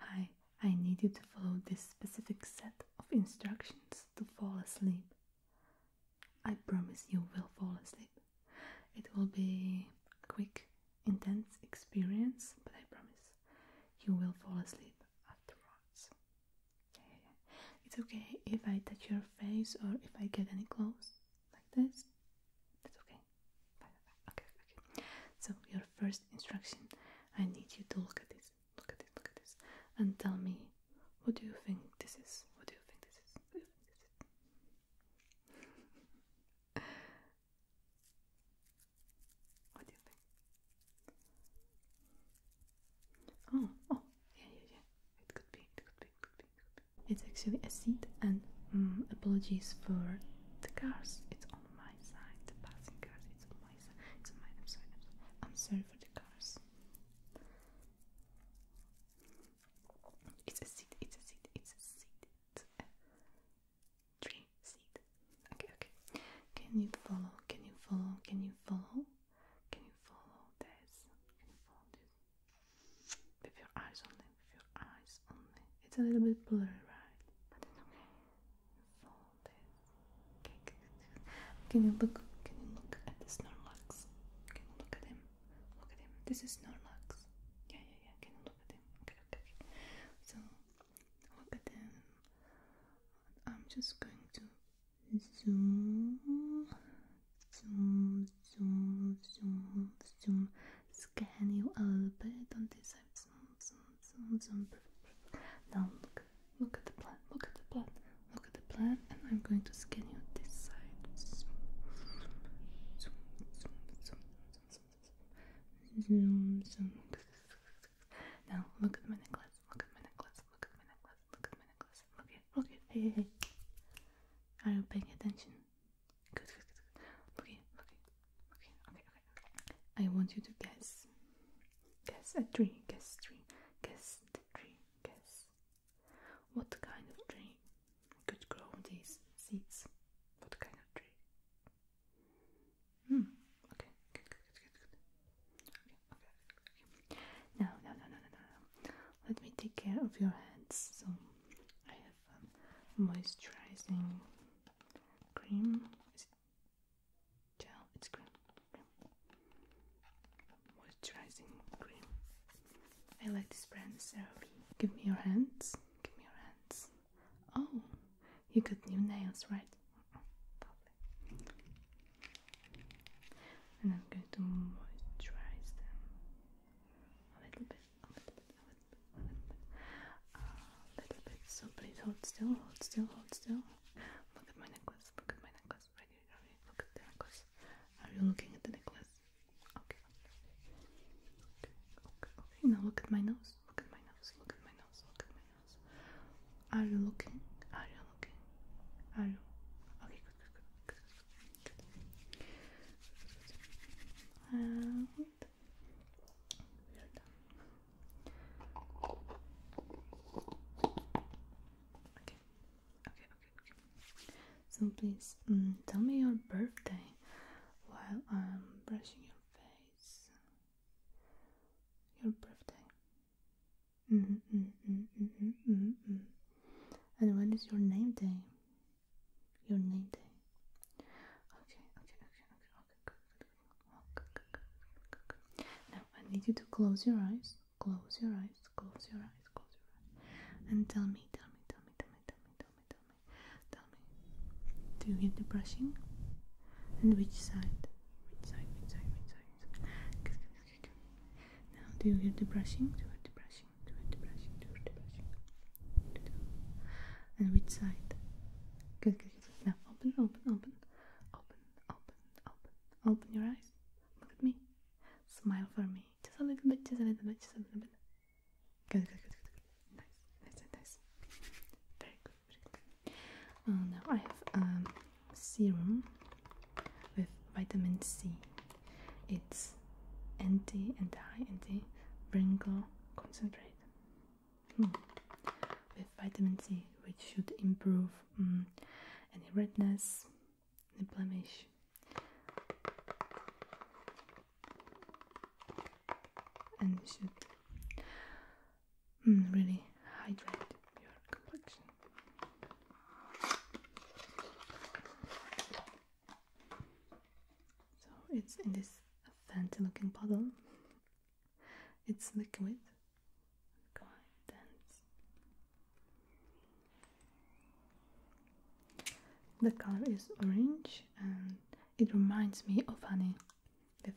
Hi, I need you to follow this specific set of instructions to fall asleep. I promise you will fall asleep. It will be a quick, intense experience, but I promise you will fall asleep afterwards. It's okay if I touch your face or if I get any close like this. That's okay. Okay, okay. So your first instruction, I need you to look at this, look at this, look at this, and tell me what do you think this is? What do you think this is? What do you think Oh, oh, yeah, yeah, yeah. It could be, it could be, it could be, it could be. It's actually a seat, and mm, apologies for the cars. It's my side. The passing cars, it's my side. It's my. I'm sorry. I'm sorry, for the cars. It's a seat. It's a seat. It's a seat. It's seat. Okay. Okay. Can you follow? Can you follow? Can you follow? Can you follow this? follow this? With your eyes only. With your eyes only. It's a little bit blurry, right? But it's okay can you look? Can you look at the Snorlax? Can you look at him? Look at him. This is Snorlax. Yeah, yeah, yeah. Can you look at him? Okay, okay. okay. So look at him. I'm just going to zoom, zoom, zoom, zoom, zoom scan you a little bit on this side. Zoom, zoom, zoom, zoom. Now look, look at the plan. Look at the plan. Look at the plan, and I'm going to scan you this side. Zoom, zoom, zoom, zoom, zoom, zoom, zoom. Now look at my necklace. Look at my necklace. Look at my necklace. Look at my necklace. Look at, look at. Hey, hey, hey. Are you paying attention? Good, good, good. Looking, looking, looking. Okay, okay. I want you to guess. Guess a tree. Guess tree. Guess the tree. Guess. What kind of tree could grow these seeds? What kind of tree? Hmm. Okay. Good, good, good, Okay, okay, okay. Now, no, no, no, no, no. Let me take care of your hands. So I have moisturizing cream. Is it gel? It's cream. Moisturizing cream. I like this brand, CeraVe. Give me your hands. Give me your hands. Oh, you got new nails, right? And I'm going to moisturize them a little bit a little bit, a little bit, a little bit, a little bit. So please hold still, hold still, hold still. Look at my necklace. Look at my necklace. Right here, right here. Look at the necklace. Are you looking at the necklace? Okay. Okay. Okay. Okay. Now look at my nose. Look at my nose. Look at my nose. Look at my nose. Are you looking? Are you looking? Are you? Okay. Good. Good. Good. good. good. And Okay. Okay, okay, okay. So please mm, tell me your birthday while I'm brushing your face. Your birthday. Mm -hmm, mm -hmm, mm -hmm, mm -hmm. And when is your name day? Your name day. Okay, okay, okay, okay, now I need you to close your eyes, close your eyes, close your eyes, close your eyes, and tell me, tell me, tell me, tell me, tell me, tell me, tell me, tell me. Do you get the brushing? And which side? Which side? Which side? Which side? Which side? Now do you get the brushing? Do you get the brushing? Do you get the brushing? Do you get the brushing? And which side? Good, good, good. Now open, open, open, open, open, open. Open your eyes. Look at me. Smile for me. Just a little bit, just a little bit, just a little bit. Good, good, good, good, good. Nice, nice, nice. Very good, very good. Uh, now I have um, serum with vitamin C. It's anti, anti, anti wrinkle concentrate. Hmm. with vitamin C, which should improve hmm, any redness, any blemish. And should hmm, really hydrate your complexion. So it's in this fancy looking bottle. It's liquid, quite dense. The color is orange and it reminds me of honey with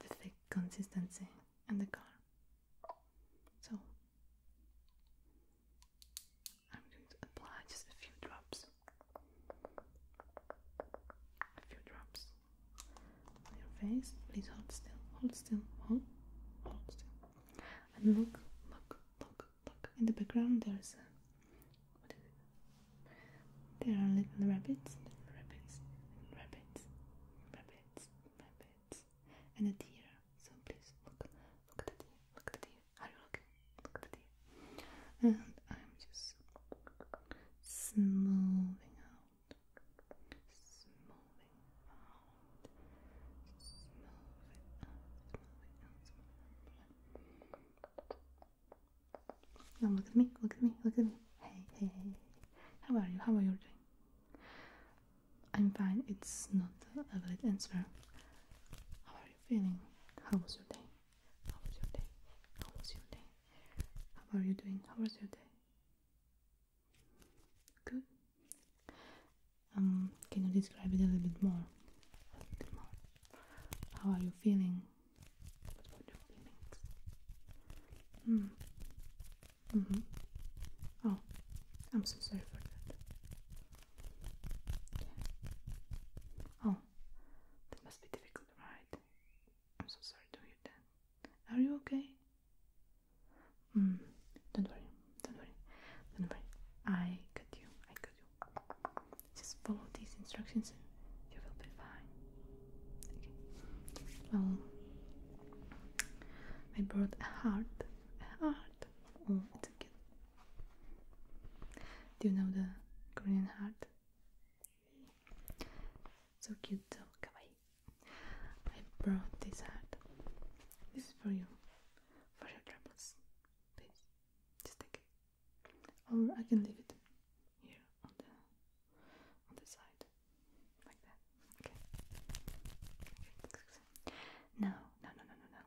the thick consistency and the color. So I'm going to apply just a few drops a few drops on your face. Please hold still, hold still, hold, hold still, and look, look, look, look. In the background, there is a what is it? There are little rabbits, rabbits, rabbits, rabbits, rabbits, and a deer. So please look, look at the deer, look at the deer. Are you looking? Look at the And I'm just smoothing out, smoothing out, smoothing out, smoothing out, look at me, look at me, look at me. Hey, hey, How are you? How are you doing? I'm fine. It's not the valid answer. How are you feeling? How was your day? How was your day? How was your day? How are you doing? How was your day? Good. Um, can you describe it a little bit more? How are you feeling? What were your feelings? Hmm. Mm-hmm. Oh, I'm so sorry for that. Oh, that must be difficult, right? I'm so sorry to hear that. Are you okay? Mm, don't worry, don't worry, don't worry. I got you, I got you. Just follow these instructions and you will be fine. Okay. Well, I brought a heart, a heart. Oh, it's a cute do you know the Korean heart? So cute, so kawaii. I brought this heart. This is for you, for your troubles. Please, just take it. Or I can leave it here on the on the side, like that. Okay. okay. no, no, no, no, no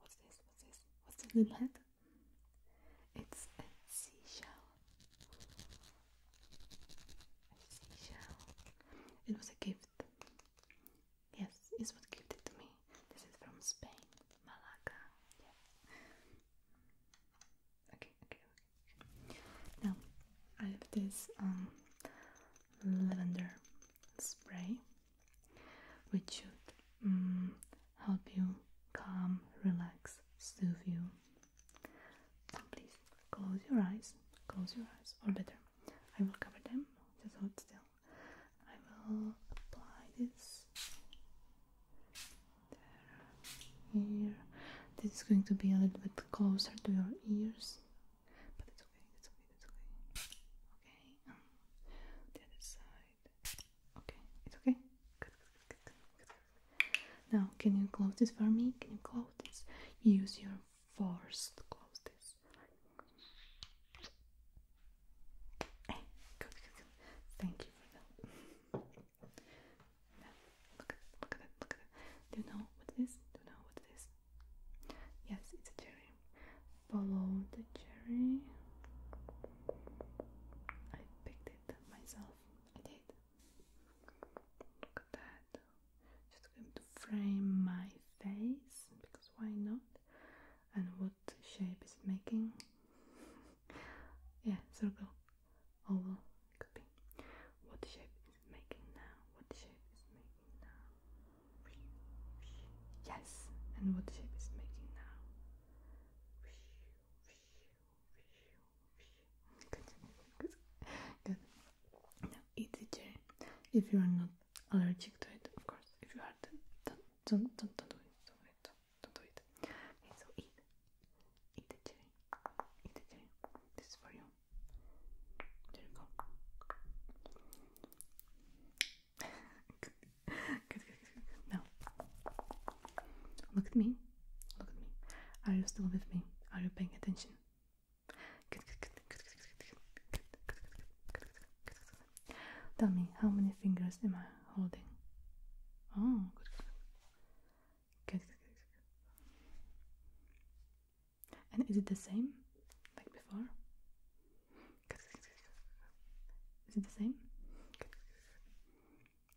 What's this? What's this? What's in the head? It's a seashell. A seashell. It was a gift. Yes, it's what gifted it to me. This is from Spain, Malaga. Yes. Okay, okay, okay. Now I have this um lavender spray which should mm, help you calm, relax, soothe you. please close your eyes, close your eyes, or better, I will cover them. Just hold still. I will apply this here. This is going to be a little bit closer to your ears, but it's okay. It's okay. It's okay. Okay. Um, the other side. Okay, it's okay. Now, can you close this for me? Can you close this? Use your force to close this. Eh, Thank you for that. look at it, look at it, Do you know what it is? Do you know what it is? Yes, it's a cherry below the cherry. I picked it myself. I did. Look at that. Just going to frame my face because why not? And what shape is making? yeah, circle. Oval. could be. What shape is making now? What shape is making now? Yes. And what shape is making now? Good. Good. Now eat the cherry. If you are not allergic to it, of course. If you are, then don't, don't, don't, don't do it. Don't do it. Don't, do it. Okay, so eat. Eat the cherry. Eat the cherry. This is for you. There you go good, look at me. Look at me. Are you still with me? Are you paying attention? Tell me, how many fingers am I holding? Oh, And is it the same like before? Is it the same?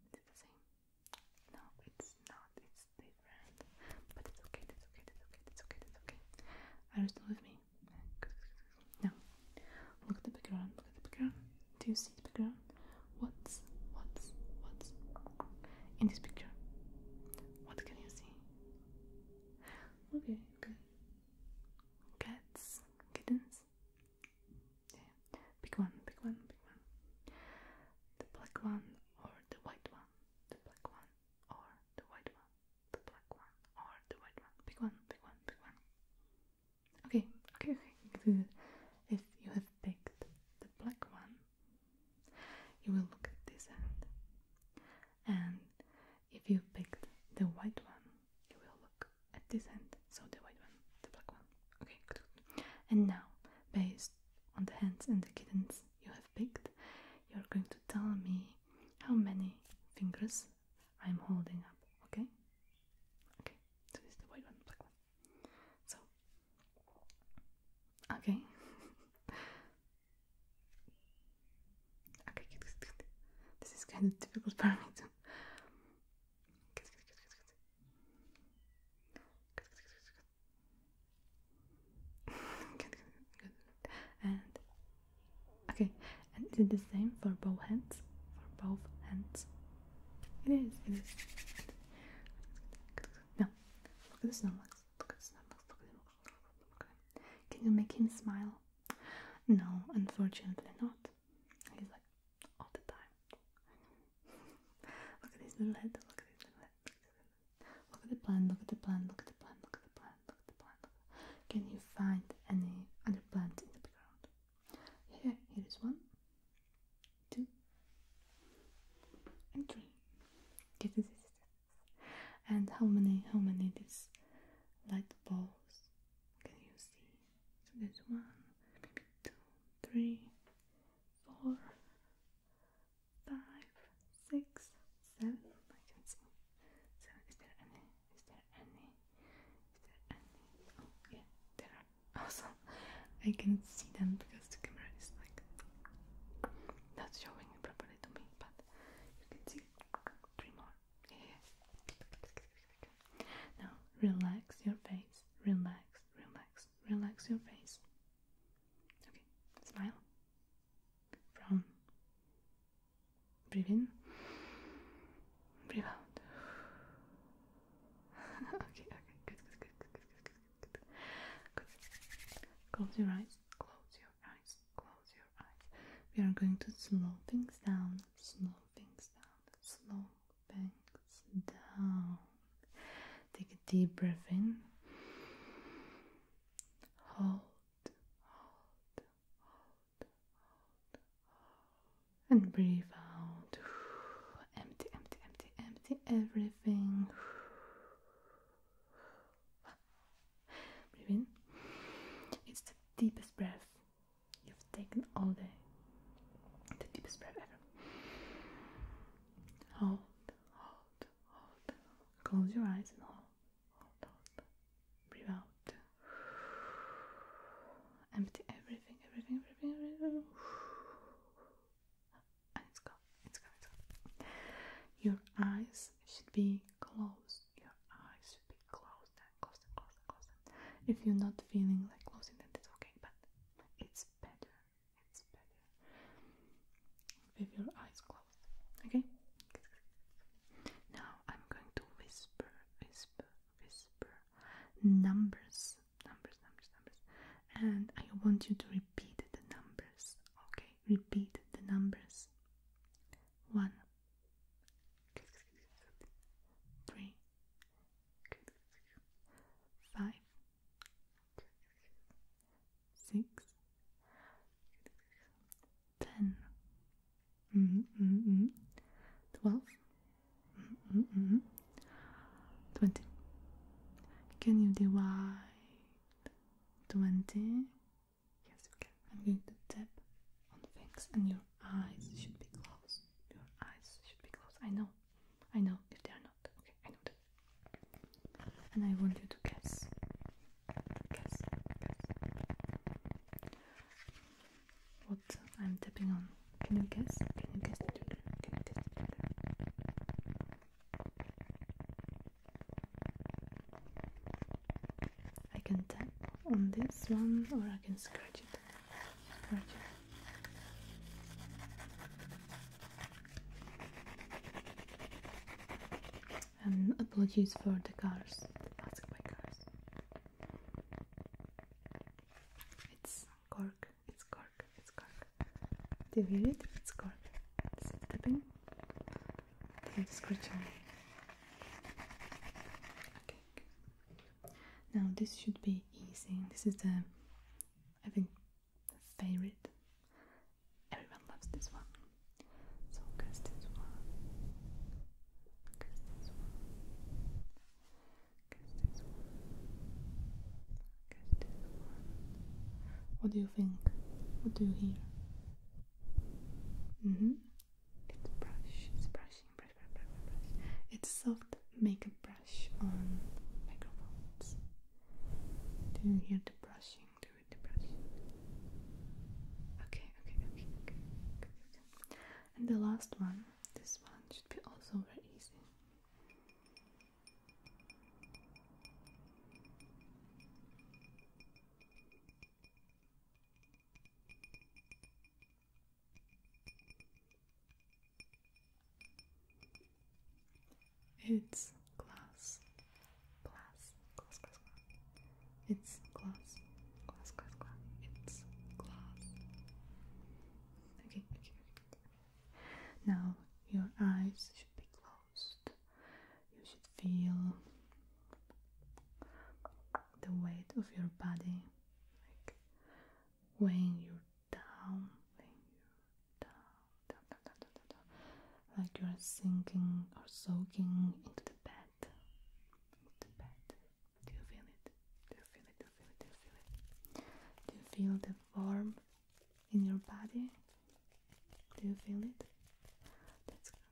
Is it the same? No, it's not. It's different. But it's okay. That's okay. That's okay. That's okay. That's okay. Are you still with me? No. Look at the background. Look at the background. Do you see the background? What's what's what's in this picture? What can you see? Okay. Okay. Cats, kittens ones. one, pick one, pick one. The black one or the white one. The black one or the white one. The black one or the white one. Pick one, pick one, pick one. Okay, okay, okay. If you have picked the black one, you will look at this end. And if you picked the white one, you will look at this end, so the white one, the black one. Okay, good. And now, based on the hands and the kittens you have picked, you're going to tell me how many fingers I'm holding up, okay? Okay, so this the white one, black one. So, okay. Okay, This is kind of difficult for And okay, and is it the same for both hands? For both hands. It is. It is. No. Look at the snowflakes. Look at the Can you make him smile? No, unfortunately not. He's like, all the time. look at his little head, look at his little head. Look at the plant, look at the plant, look at the plant, look at the plant, look at the plant. Can you find any other plants in the background? Here, here is one, two, and three. Yes, yes, And how many, how many these light balls can you see? So there's one, two, three, four, five, six, seven. I can see. So is there any? Is there any? Is there any? Oh yeah, there are. Awesome. I can see them because the camera is like not showing it properly to me, but you can see three more. Now relax your face. Relax, relax, relax your face. Okay, smile. From breathe in, breathe out. okay, okay, good, good, good, good, good, good, good, good, Close your eyes. Close your eyes. Close we are going to slow things down, slow things down, slow things down. Take a deep breath in. Hold, hold, hold, hold, and breathe out. Empty, empty, empty, empty everything. Breathe in. It's the deepest breath You've taken all the the deepest breath ever. Hold, hold, hold. Close your eyes and hold, hold, hold. Breathe out. Empty everything, everything, everything, everything. And it's gone, it's gone, it's gone. Your eyes should be closed your eyes should be closed and closed and closed and closed. if you're not feeling like closing, then it's okay. But it's better. It's better with your eyes closed. Okay. Now I'm going to whisper, whisper, whisper numbers, numbers, numbers, numbers, and I want you to repeat the numbers. Okay, repeat the numbers. One, three, five, six, ten, mm-hmm, mm-hmm. twelve, mm-hmm, twenty. Can you divide twenty Yes, you can. I'm going to tap on things and your eyes should be closed. Your eyes should be closed. I know. I know if they are not. Okay, I know that. And I want you to guess. Guess. Guess. What I'm tapping on. Can you guess? Can you guess Can you guess I can tap on this one or I can scratch it. And apologies for the cars, It's cork, it's cork, it's cork. Do you hear it? It's cork. It's tapping. Now this should be easy. This is the, I think, favorite. Everyone loves this one. So guess this one. Guess this one. Guess this one. Guess this one. What do you think? What do you hear? Mm-hmm. It's brush, it's brushing, brush, brush, brush, brush. It's soft makeup brush on microphones. Do you hear the brushing? Do it, the brushing. Okay, okay, okay, okay, good, good. And the last one, this one should be also very easy. It's glass, glass, glass, glass, glass. It's glass, glass, glass, glass. It's glass. Okay, okay, okay. Now your eyes should be closed you should feel the weight of your body like weighing you down, like you're sinking or soaking into the bed. Do you feel it? Do you feel it? Do you feel it? Do you feel it? Do you feel the warmth in your body? Do you feel it?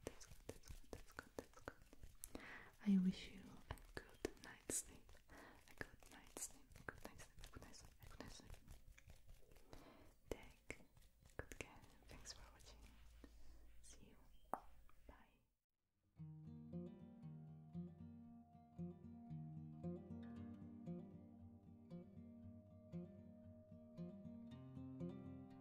that's good, that's good, that's good, that's good. I wish you a good night's sleep. A good night's sleep, good night's sleep, good night's sleep, good night's sleep. Take good care. Thanks for watching. See you. Bye.